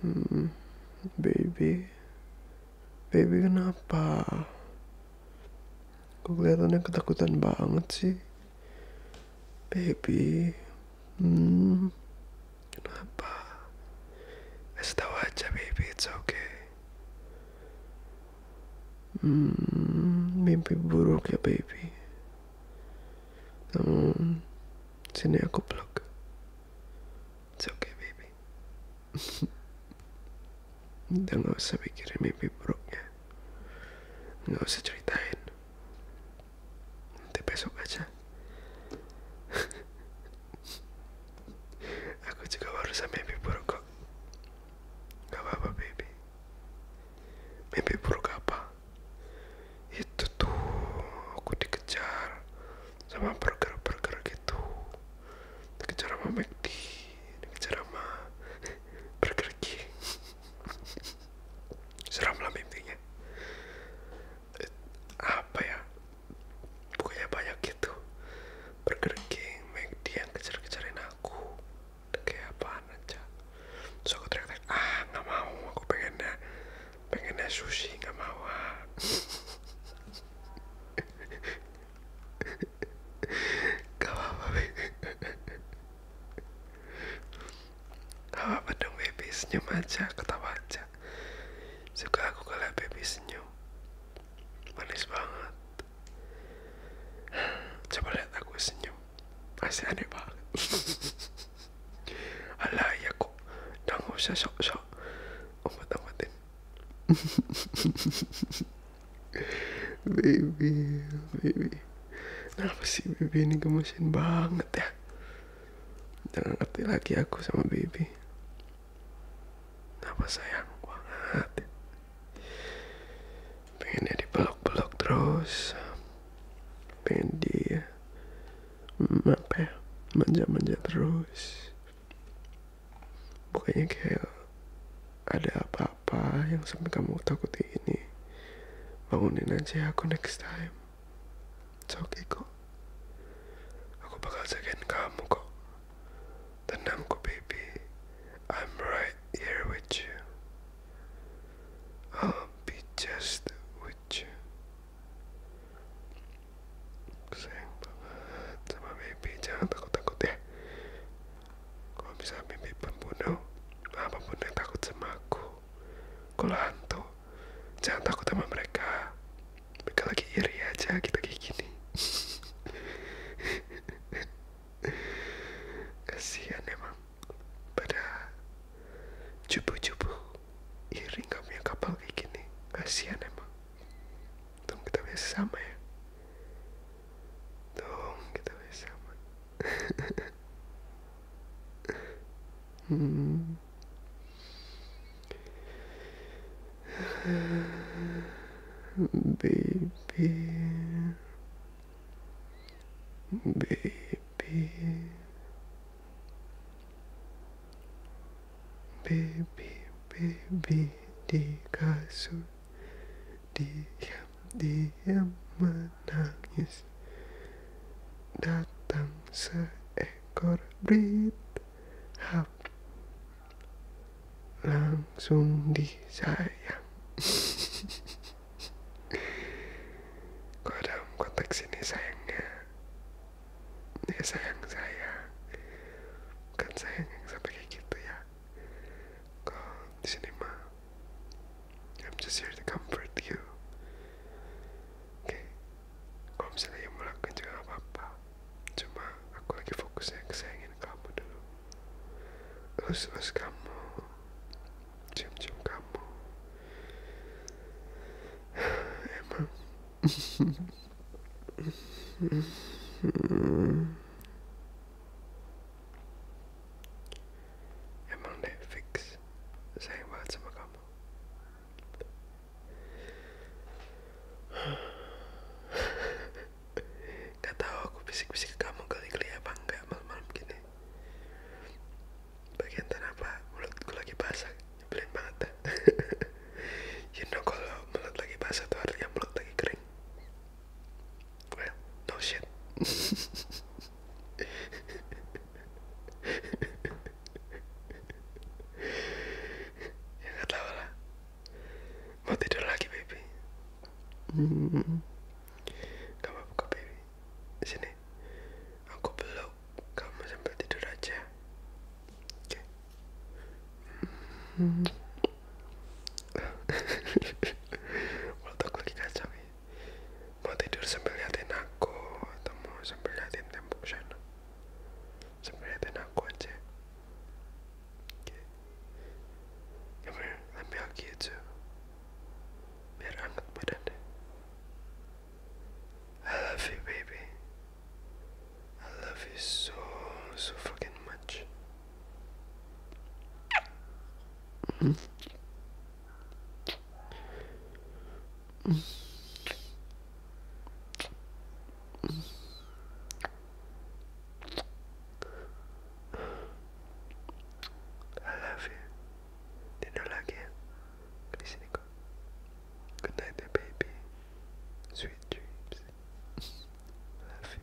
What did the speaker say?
Hmm, baby, baby kenapa? Kok kelihatannya ketakutan banget sih, baby. Hmm, kenapa? Kasih tahu aja, baby, it's okay. Hmm, mimpi buruk ya, baby. Hmm, sini aku peluk. It's okay baby. Udah gak usah pikirin mimpi buruknya. Gak usah ceritain. Nanti besok aja. aku juga baru sampai mimpi buruk kok. Gak apa-apa baby. Mimpi buruk apa? itu tuh aku dikejar sama burger-burger gitu dikejar sama McD dikejar sama Burger King seram lah mimpinya eh, apa ya pokoknya banyak gitu Burger King McD yang kejar-kejarin aku kayak apaan aja terus aku teriak-teriak ah nggak mau aku pengennya pengennya sushi nggak mau ah gak apa-apa gak apa dong baby senyum aja ketawa aja suka aku kalau baby senyum manis banget coba lihat aku senyum masih aneh banget alah ya kok udah nggak usah sok-sok obat-obatin baby baby kenapa sih baby ini gemesin banget ya jangan ngerti lagi aku sama baby kenapa sayang banget ya? pengennya dipeluk-peluk terus pengen di mm, apa ya manja-manja terus bukannya kayak ada apa-apa yang sampai kamu takuti ini bangunin aja aku next time it's okay kok aku bakal jagain kamu kok Tenangku baby, I'm right here with you. I'll be just with you. Sayang banget sama baby, jangan takut-takut ya. Kau bisa mimpi pembunuh, apapun yang takut sama aku. Kalau hantu, jangan takut sama mereka. Mereka lagi iri aja, kita kayak gini. kasihan emang pada cupu-cupu iring gak punya kapal kayak gini kasihan emang untung kita biasa sama ya untung kita biasa baby baby baby baby di kasur diam diam menangis datang seekor berita hap langsung disayang kok dalam konteks ini sayangnya ya sayang saya bukan sayang yang sampai kayak gitu ya kok di sini mah I'm just here to comfort you Oke, kalau misalnya yang melakukan juga gak apa-apa. Cuma aku lagi fokusnya ke sayangin kamu dulu. Lus-lus kamu, cium-cium kamu. Emang. Emang deh fix Sayang banget sama kamu Gak tahu aku bisik-bisik ke kamu geli-geli apa enggak malam-malam gini. Bagian apa mulutku lagi basah, nyebelin mata you know kalau mulut lagi basah tuh artinya mulut lagi kering. Well, no shit. ya nggak tahu lah mau tidur lagi baby hmm. kamu buka baby sini aku peluk kamu sambil tidur aja oke okay. hmm. Walau lagi kacau ya mau tidur sambil liatin aku atau mau sambil liatin tembok sana sambil liatin aku aja okay. Come here, let me hug you too I love you baby I love you so so fucking much I love you. Dinner again. Good night, baby. Sweet dreams. love you.